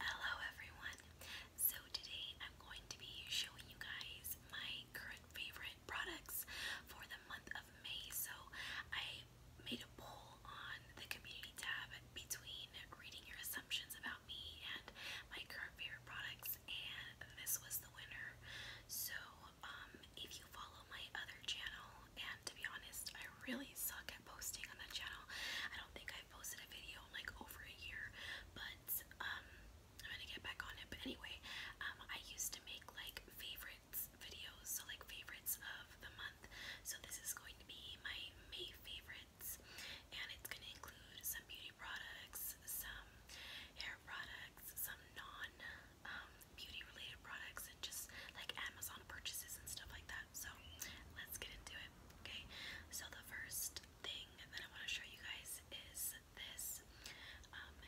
Hello everyone. So today I'm going to be showing you guys my current favorite products for the month of May. So I made a poll on the community tab between reading your assumptions about me and my current favorite products and this was the winner. So um if you follow my other channel, and to be honest, I really suck at posting on that channel. I don't think I've posted a video like over a year, but um, I'm gonna get back on it. But anyway, um, I used to make like favorites videos, so like favorites of the month. So this is going to be my May favorites, and it's gonna include some beauty products, some hair products, some non um, beauty related products and just like Amazon purchases and stuff like that. So let's get into it. Okay, so the first thing that I want to show you guys is this um,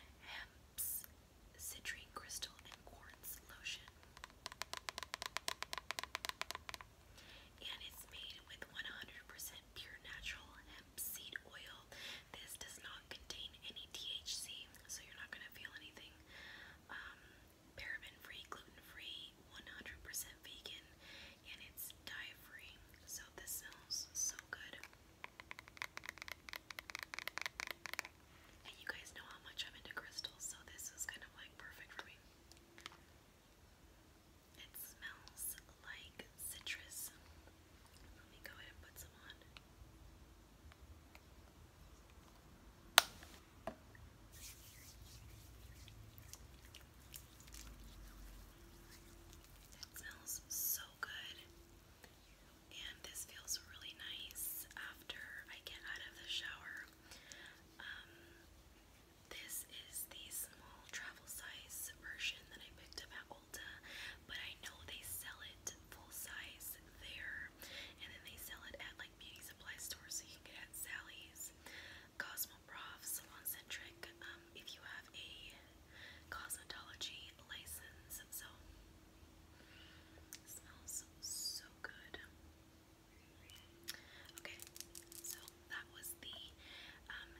Citrine Crystal and Quartz Lotion. And it's made with 100% pure natural hemp seed oil this does not contain any THC, so you're not going to feel anything. Um, paraben free, gluten free, 100% vegan, and it's dye free. So this smells so good. And you guys know how much I'm into crystals, so this is kind of like perfect for me. It smells like citrus. Let me go ahead and put some on. That smells so good. And this feels really nice after I get out of the shower. Um, this is the small travel size version that I picked up at Ulta, but I know they sell it full size there, and then they sell it at like beauty supply stores, so you can get it at Sally's, Cosmoprof, Salon Centric, um, if you have a cosmetology license. So it smells so good. Okay, so that was the um,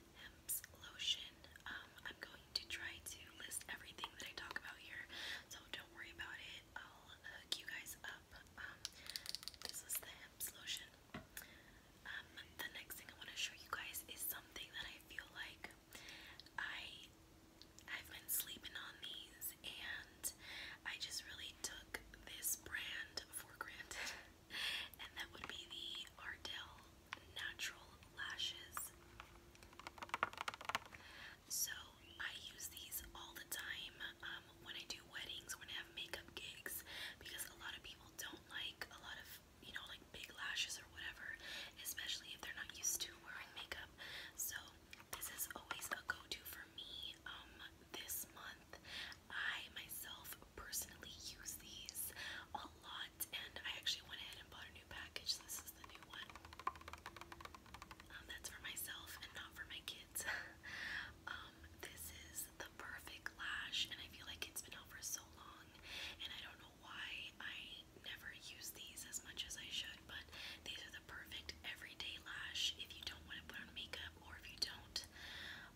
lotion. Um, I'm going to try to list everything that I talk about here, so don't worry about it. I'll hook you guys up. Um, this is the hemp lotion. Um, the next thing I want to show you guys is something that I feel like I I've been sleeping on these, and I just really took this brand for granted, and that would be the Ardell natural lashes. So I use these all the time um, when I do weddings, when I have makeup gigs, because a lot of people don't like a lot of, you know, like big lashes or whatever, especially if they're not used to wearing makeup. So this is always a go-to for me. Um, this month, I myself personally use these a lot, and I actually went ahead and bought a new package. This is the new one. Um, that's for myself and not for my kids. Um, this is the perfect lash, and I feel like it's been out for so long, and I don't know why I never use these as much as I should, but these are the perfect everyday lash if you don't want to put on makeup or if you don't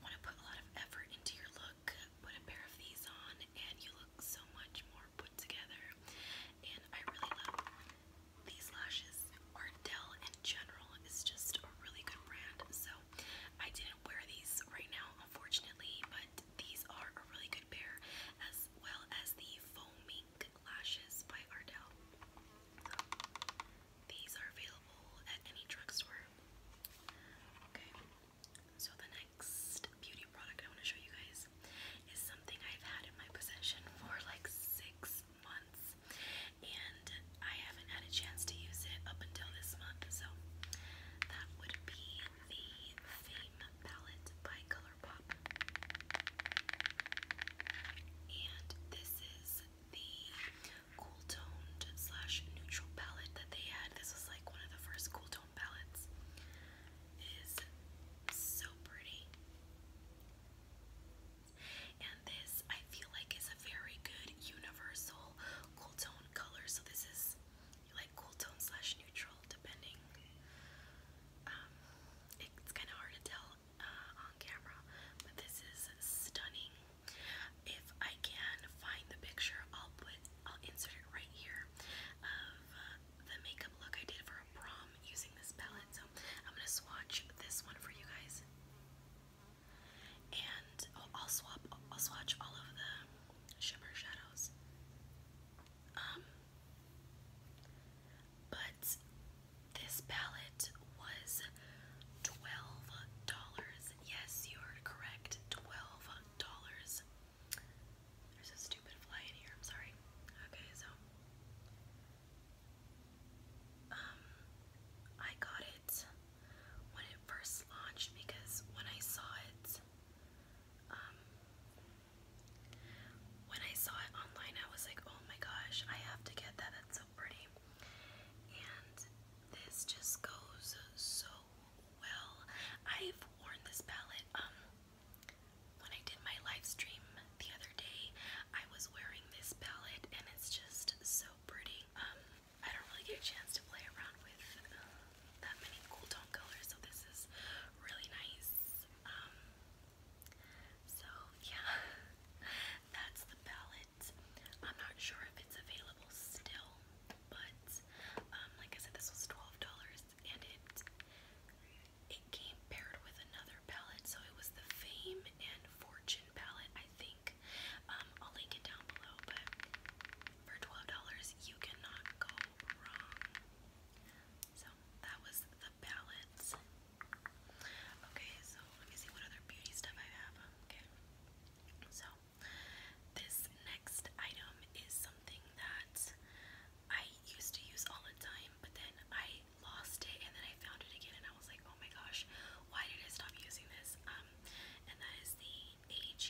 want to put a lot of effort into your look. Put a pair of these on, and you look so much more more put together. And I really love these lashes. Ardell in general is just a really good brand. So I didn't wear these right now, unfortunately, but these are a really good pair, as well as the foaming lashes by Ardell. these are available at any drugstore. Okay. So the next beauty product I want to show you guys is something I've had in my possession for like six months and I haven't had a chance to use it up until this month. So that would be the Fame palette by ColourPop. And this is the cool toned slash neutral palette that they had. This was like one of the first cool tone palettes is so pretty. And this I feel like is a very good universal cool tone color. So this is like cool tone slash neutral depending. Um, it's kind of hard to tell uh, on camera, but this is stunning. If I can find the picture, I'll put, I'll insert it right here of uh, the makeup look I did for a prom using this palette. So I'm gonna swatch this one for you guys, and I'll, i I'll swatch all of the shimmer shadows. Um, but this palette was twelve dollars. Yes, you are correct. Twelve dollars. There's a stupid fly in here, I'm sorry. Okay, so um, I got it when it first launched because when I saw it um, when I saw it online I was like, "Oh my gosh, I have to get that. That's so pretty." And this just goes so well. I've worn this palette um, when I did my live the other day, I was wearing this palette and it's just so pretty. Um, I don't really get a chance to play around with uh, that many cool tone colors, so this is really nice. Um, so yeah, that's the palette. I'm not sure if it's available still, but um, like I said, this was $12, and it it came paired with another palette, so it was the Fame and Fortune palette, I think. Um, I'll link it down below, but for twelve dollars, you cannot go wrong. So that was the palettes. Okay, so let me see what other beauty stuff I have. Okay, so this next item is something that I used to use all the time, but then I lost it and then I found it again and I was like, oh my gosh, why did I stop using this? Um, and that is the AG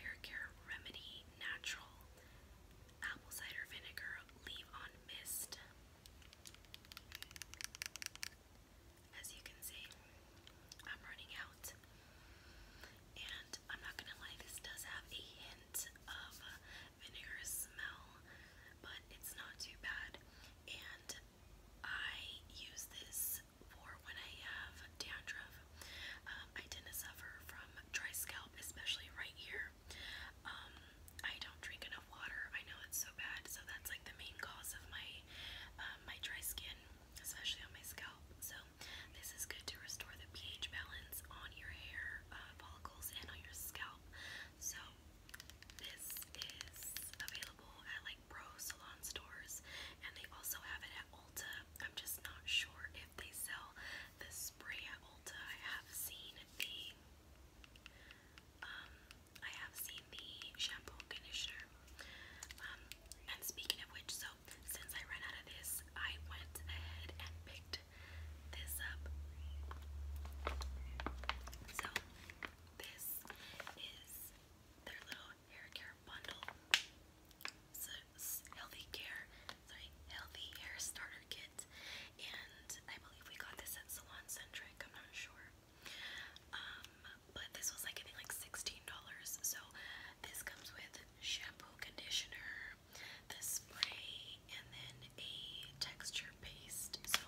Hair Care Remedy Natural Apple Cider Vinegar Leave On Mist. As you can see, I'm running out. And I'm not gonna lie, this does have a hint of vinegar smell, but it's not too bad. And I use this for when I have dandruff. Um, I tend to suffer from dry scalp, especially right here. Um, I don't drink enough water. I know it's so bad, so that's like the main cause of my uh, my dry skin, especially on my scalp. So this is good to restore the pH balance on your hair uh, follicles and on your scalp. So this is available at like pro salon stores, and they also have it at Ulta. I'm just not sure if they sell the spray at Ulta. I have seen the um, I have seen the shampoo conditioner. Um, and speaking of which, so so since I ran out of this, I went ahead and picked this up. So this is their little hair bundle. So healthy care, sorry, healthy hair starter kit, and I believe we got this at Salon Centric. I'm not sure, um, but this was like I like sixteen dollars. So this comes with shampoo, conditioner, the spray and then a texture paste. So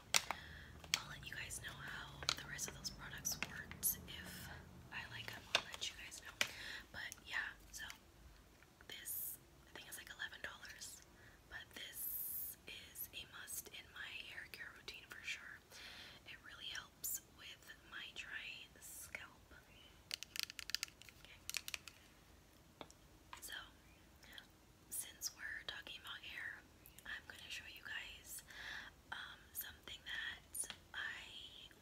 I'll let you guys know how the rest of those products worked. If I like I'll let you guys know. But yeah, so this I think it's like $11, but this is a must in my hair care routine for sure. It really helps with my dry scalp. Okay. So, since we're talking about hair, I'm going to show you guys um, something that I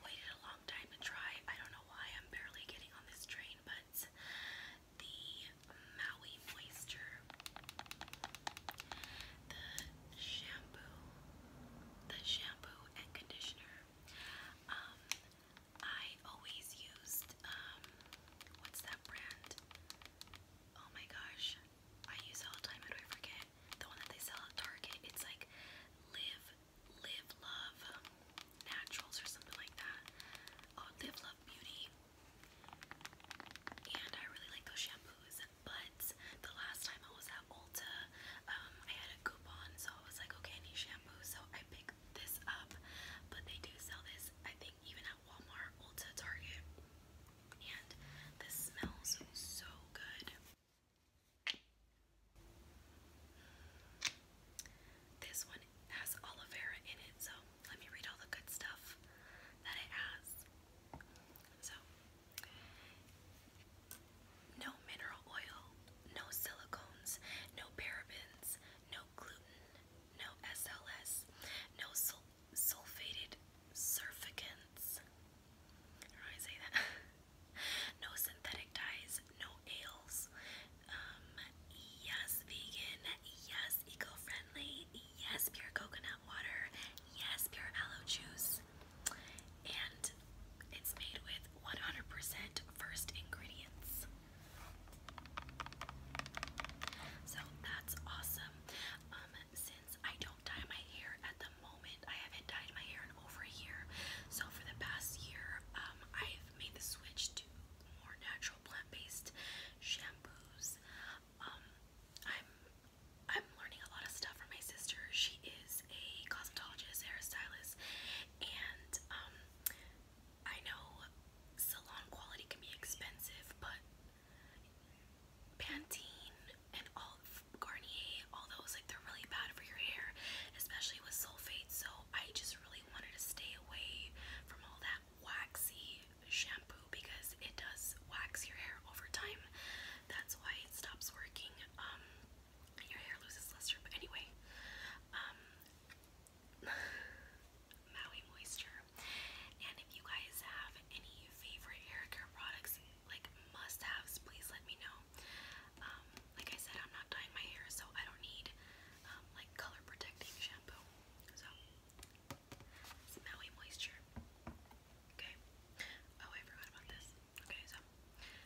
waited a long time to try. I don't know why I'm barely getting on this train, but the Maui Moisture, the shampoo, the shampoo and conditioner. Um, I always used, um, what's that brand? Oh my gosh, I use all the time, how do I forget? The one that they sell at Target, it's like Live, Live Love Naturals or something like that. Oh, Live Love Beauty. And I really like those shampoos, but the last time I was Ulta. Um, I had a coupon, so I was like, okay, I shampoo, so I picked this up. But they do sell this, I think, even at Walmart, Ulta, Target. And this smells so good. This one has aloe vera in it, so let me read all the good stuff that it has. So, no mineral oil, no silicones, no parabens, no gluten, no SLS, no sulfated surfactants. How do I say that? no synthetic dyes, no ales. Um, yes, vegan. Yes, eco-friendly. Yes, pure coconut water. Yes, pure aloe juice and it's made with 100% 1st ingredients. So that's awesome. Um, since I don't dye my hair at the moment, I haven't dyed my hair in over a year. So for the past year, um, I've made the switch to more natural plant-based shampoos. Um, I'm I'm learning a lot of stuff from my sister. She is a cosmetologist, hairstylist, and um, I know salon quality can be expensive, but Pantene and all Garnier, all those like they're really bad for your hair, especially with sulfate. So I just really wanted to stay away from all that waxy shampoo because it does wax your hair over time. That's why it stops working. Um, your hair loses luster. But anyway, um, Maui Moisture. And if you guys have any favorite hair care products, like must-haves, please let me know. Um, like I said, I'm not dyeing my hair, so I don't need um, like color protecting shampoo. So, Maui Moisture. Okay. Oh, I about this. Okay, so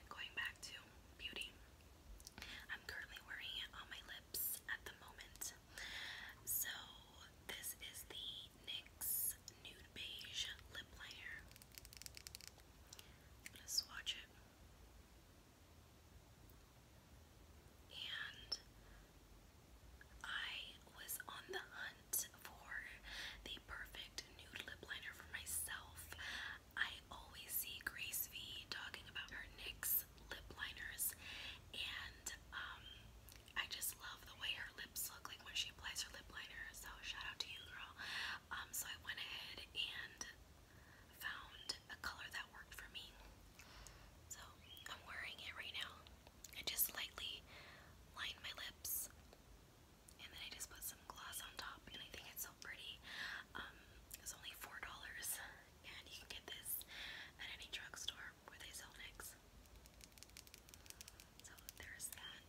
going back to beauty. I'm currently wearing it on my lips at the moment. So this is the NYX Nude Beige Lip Liner. I'm gonna swatch it. And I was on the hunt for the perfect nude lip liner for myself. I always see Grace V talking about her NYX lip liners, and um, I just love the way her lips look like when she applies her lip liner. So shout out to you, girl. Um, so I went ahead and found a color that worked for me. So I'm wearing it right now. I just lightly line my lips and then I just put some gloss on top, and I think it's so pretty. Um, it's only four dollars, and you can get this at any drugstore where they sell NYX. So there's that.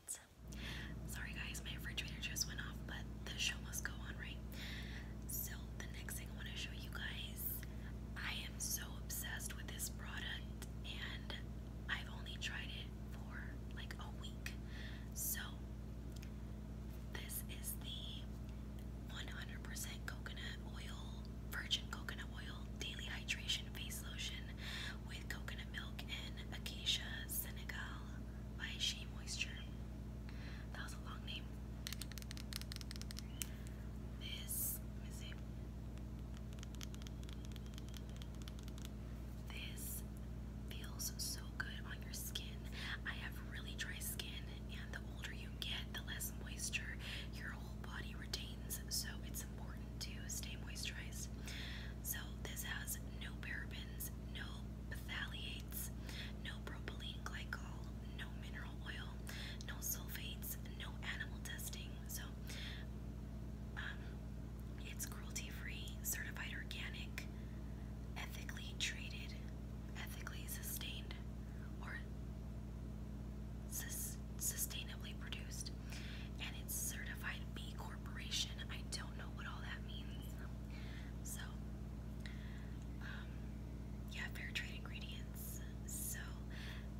Sorry guys, my refrigerator just went off, but the show must go on, right? So the next thing I want to show you guys, I am so obsessed with this product, and I've only tried it for like a week. So this is the 100% coconut oil, virgin coconut oil daily hydration face lotion with coconut milk and acacia Senegal by Shea Moisture. That was a long name. This, let me this feels so good on your skin. I have really dry skin, and the older you get, the less moisture your whole body retains, so it's important to stay moisturized. So, this has no parabens, no phthalates, no propylene glycol, no mineral oil, no sulfates, no animal testing. So, um, it's cruelty-free, certified organic, ethically treated, ethically sustained, or sustainably produced, and it's certified B Corporation. I don't know what all that means. So, um, yeah, fair trade ingredients. So,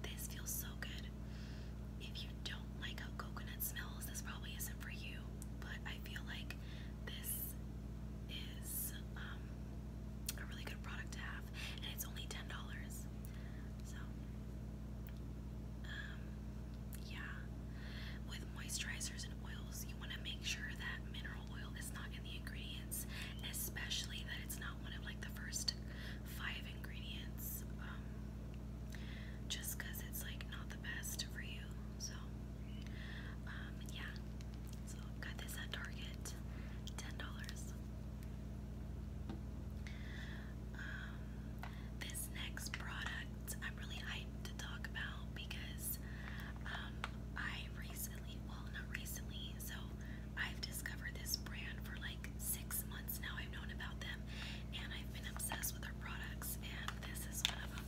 this feels so good. If you don't like how coconut smells, this probably isn't for you, but I feel like this is um, a really good product to have, and it's only ten dollars. So, um, yeah, with moisturizers and oils, you want to make sure that mineral oil is not in the ingredients, especially that it's not one of like the first five ingredients. Um, just because it's like not the best for you. So, um, yeah. So, got this at Target, ten dollars. Um, this next product I'm really hyped to talk about because um, I recently, well, not recently, so I've discovered this brand for like six months now. I've known about them and I've been obsessed with their products, and this is one of them.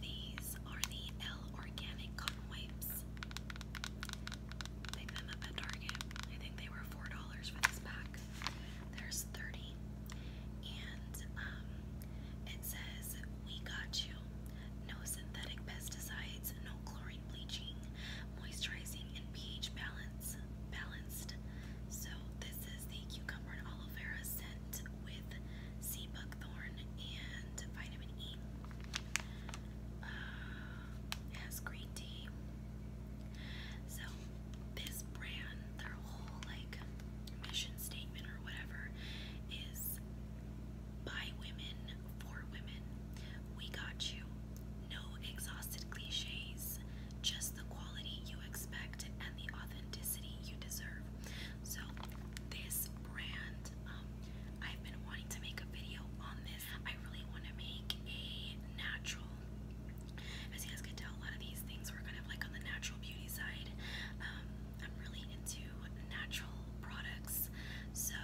These are the L Organic Cotton Wipes. Pick them up at Target. I think they were $4 for this pack. There's 30. And um, it says, We got you. No synthetic pesticides, no chlorine bleaching, moisturizing, and pH balance. balance so this is the cucumber and aloe vera scent with sea buckthorn and vitamin E. Uh, green tea. So this brand, their whole like mission statement or whatever is by women for women. We got you. No exhausted cliches just the quality you expect and the authenticity you deserve. So, this brand, um, I've been wanting to make a video on this. I really want to make a natural. As you guys can tell, a lot of these things were kind of like on the natural beauty side. Um, I'm really into natural products, so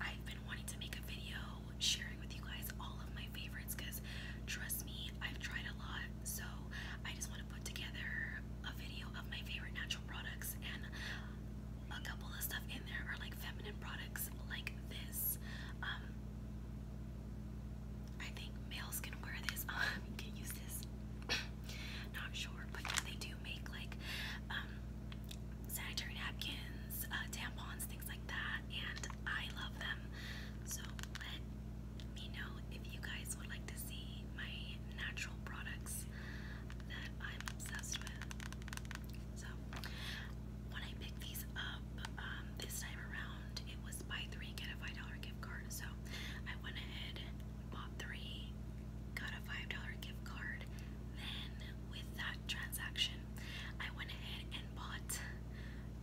I've been wanting to make a video sharing with you guys all of my my favorites because trust me, I've tried a lot. So I just want to put together a video of my favorite natural products and a couple of stuff in there are like feminine products like this. Um, I think males can wear this. Um, can use this. Not sure, but yeah, they do make like um, sanitary napkins, uh, tampons, things like that, and I love them. So let you know, if you guys would like to see my natural products that I'm obsessed with. So, when I picked these up um, this time around, it was buy three, get a $5 gift card. So, I went ahead, bought three, got a $5 gift card. Then, with that transaction, I went ahead and bought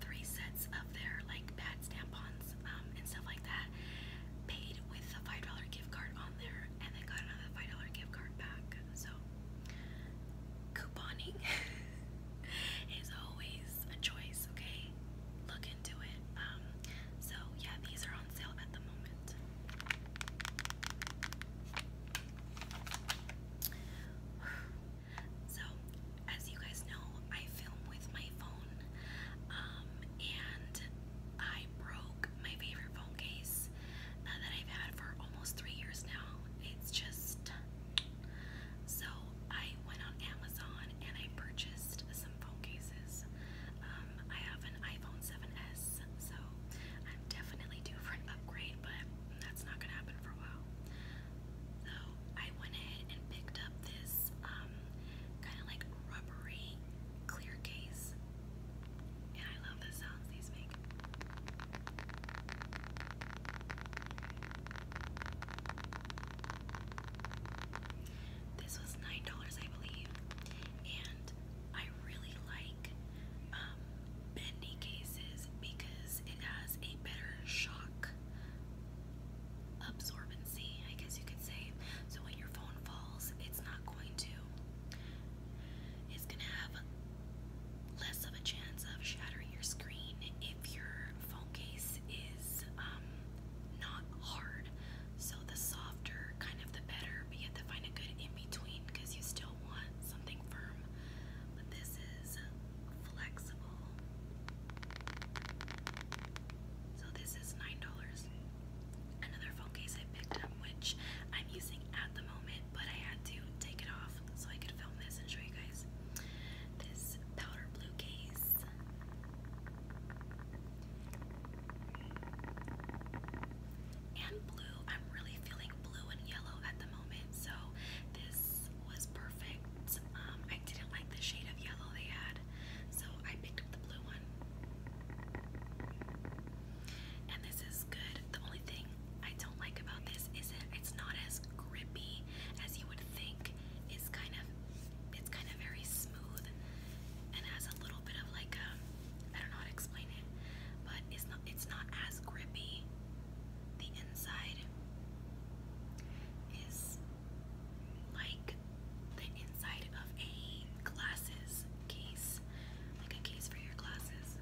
three sets of their like pads, tampons, um, and stuff like that. Paid with a five dollar gift card on there, and they got another five dollar gift card back. So couponing is always a choice. Okay, look into it. Um, so yeah, these are on sale at the moment. So, as you guys know, I film with my phone, um, and I broke my favorite phone case uh, that I've had for almost three years now. It's just so I went on Amazon and I purchased some phone cases. Um, I have an iPhone 7S, so I'm definitely due for an upgrade, but that's not gonna happen for a while. So I went ahead and picked up this um, kind of like rubbery clear case. And I love the sounds these make. This was $9, I believe. And I really like um, bendy cases because it has a better shock absorbency, I guess you could say. So when your phone falls, it's not going to, it's going to have less of a chance of shattering your screen if your phone case is um, not hard. So the softer, kind of the better, but you have to find a good in between because you still want something firm. But this is flexible. So this is $9. Another phone case I picked up, which I'm using at the moment, but I had to take it off so I could film this and show you guys. This powder blue case. And blue. I'm really feeling blue and yellow at the moment, so this was perfect. Um, I didn't like the shade of yellow they had, so I picked up the blue one. And this is good. The only thing I don't like about this is that it's not as grippy as you would think. It's kind of it's kind of very smooth and has a little bit of like a um, I don't know how to explain it, but it's not it's not as grippy. The inside is like the inside of a glasses case, like a case for your glasses.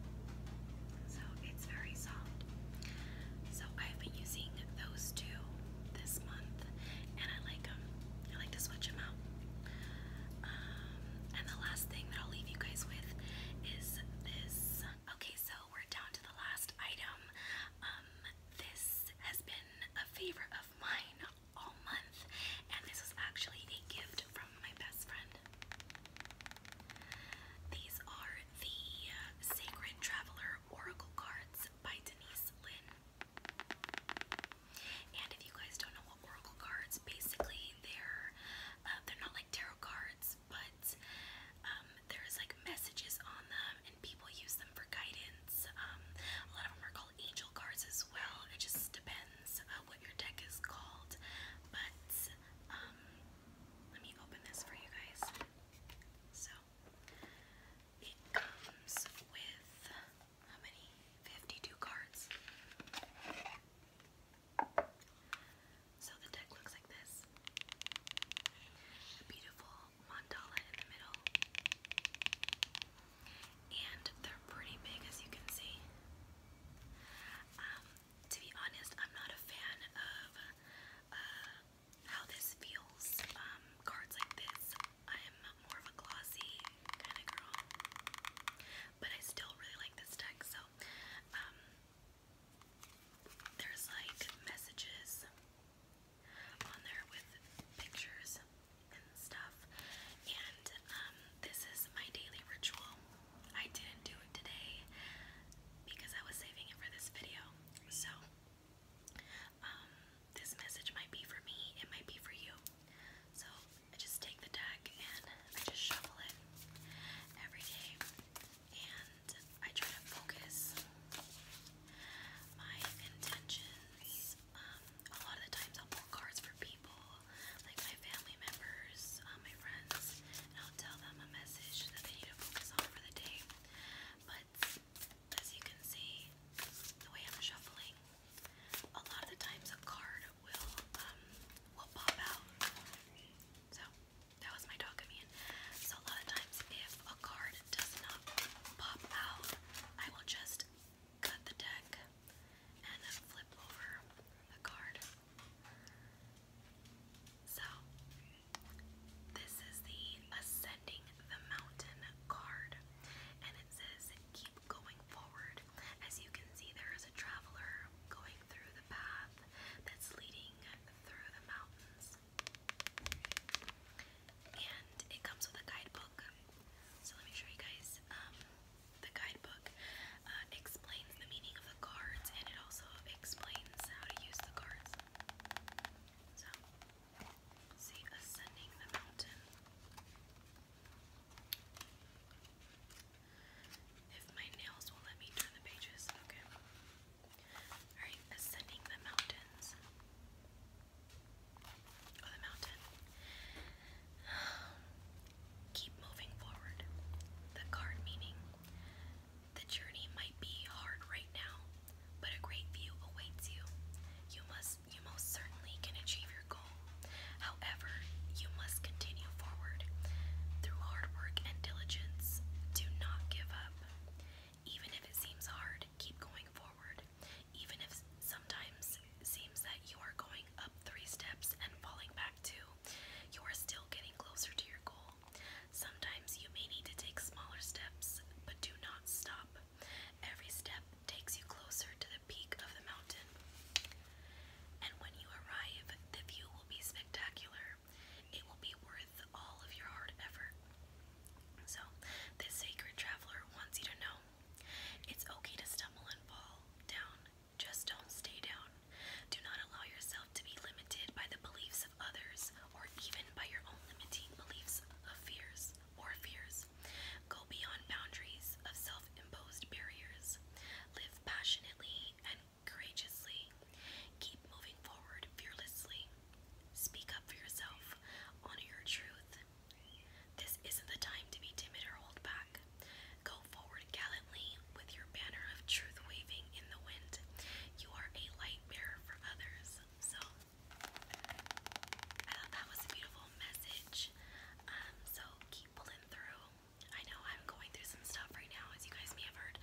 So it's very soft. So I've been using those two this month, and I like them. I like to switch them out. Um, and the last thing that I'll leave you guys with is this. Okay, so we're down to the last item. Um, this has been a favorite of mine all month, and this was actually a gift from my best friend. These are the uh, Sacred Traveler Oracle Cards by Denise Lynn. And if you guys don't know what Oracle cards, basically they're uh, they're not like tarot cards, but um, there's like messages on them, and people use them for guidance. Um, a lot of them are called angel cards as well. It just depends uh, what your deck is called. But um, let me open this for you guys. So it comes with how many? 52 cards. So the deck looks like this. beautiful mandala in the middle. And they're pretty big as you can see. Um, to be honest, I'm not a fan of uh, how this feels. Um, cards like this, I'm more of a glossy kind of girl. But I still really like this deck, so um, there's like messages on there with pictures and stuff. And um, this is my daily ritual. I didn't do it today because I was saving it for this video. So, um, this message might be for me, it might be for you. So, I just take the deck and I just shuffle it every day. I try to focus my intentions. Um, a lot of the times I'll pull cards for people, like my family members, uh, my friends, I'll tell them a message that they need to focus on for the day. But as you can see, the way I'm shuffling, a lot of the times a card will um, will pop out. So that was my dog coming in. So a lot of times if a card does not pop out, I will just cut the deck and flip over the card. So this is the Ascending the Mountain card. And it says keep going forward. As you can see there is a traveler going through the path that's leading through the mountains. And it comes with a guidebook. So let me show you guys. Um, the guidebook uh, explains the meaning of the cards and it also explains how to use the cards. So, see, ascending the mountain. If my nails will let me turn the pages, okay. Alright, ascending the mountains. Oh, the mountain. Keep moving forward. The card meaning. The journey might be hard right now, but a great view awaits you. You must you most certainly can achieve your goal. However, you must continue forward. Through hard work and diligence, do not give up. Even if it seems hard, keep going forward. Even if sometimes it seems that you are going up three steps and falling back two, you are still getting closer to your goal. Sometimes you may need to take smaller steps, but do not stop. Every step takes you closer to the peak of the mountain. And when you arrive, the view will be spectacular. It will be worth all of your hard effort. So, this sacred traveler wants you to know it's okay to stumble and fall down, just don't stay down. Do not allow yourself to be limited by the beliefs of others or even by your own limiting beliefs of fears or fears. Go beyond boundaries of self imposed barriers. Live passionately and courageously. Keep moving forward fearlessly. Speak up for yourself. Honor your truth. This isn't the time to be timid or hold back. Go forward gallantly with your banner of truth waving in the wind. You are a light bearer for others. So, I thought that was a beautiful message. Um, so, keep pulling through. I know I'm going through some stuff right now, as you guys may have heard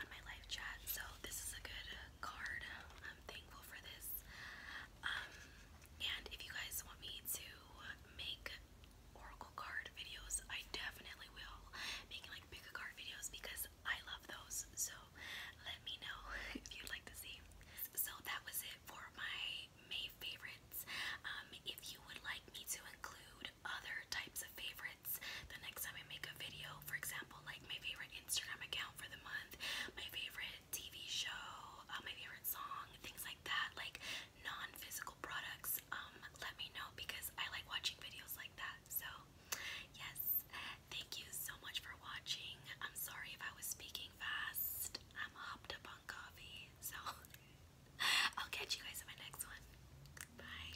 on my live chat. So, this is a good uh, card. I'm thankful for this. Um, and if you guys want me to make oracle card videos, I definitely will. Making like bigger card videos because I love those. So let me know if you'd like to see. So that was it for my May favorites. Um, if you would like me to include other types of favorites, the next time I make a video, for example, like my favorite Instagram account for the month, my favorite TV show, uh, my favorite song, things like that, like non-physical products, um, let me know because I like watching videos like that. So, yes, thank you so much for watching. I'm sorry if I was speaking fast. I'm hopped up on coffee, so I'll catch you guys in my next one. Bye.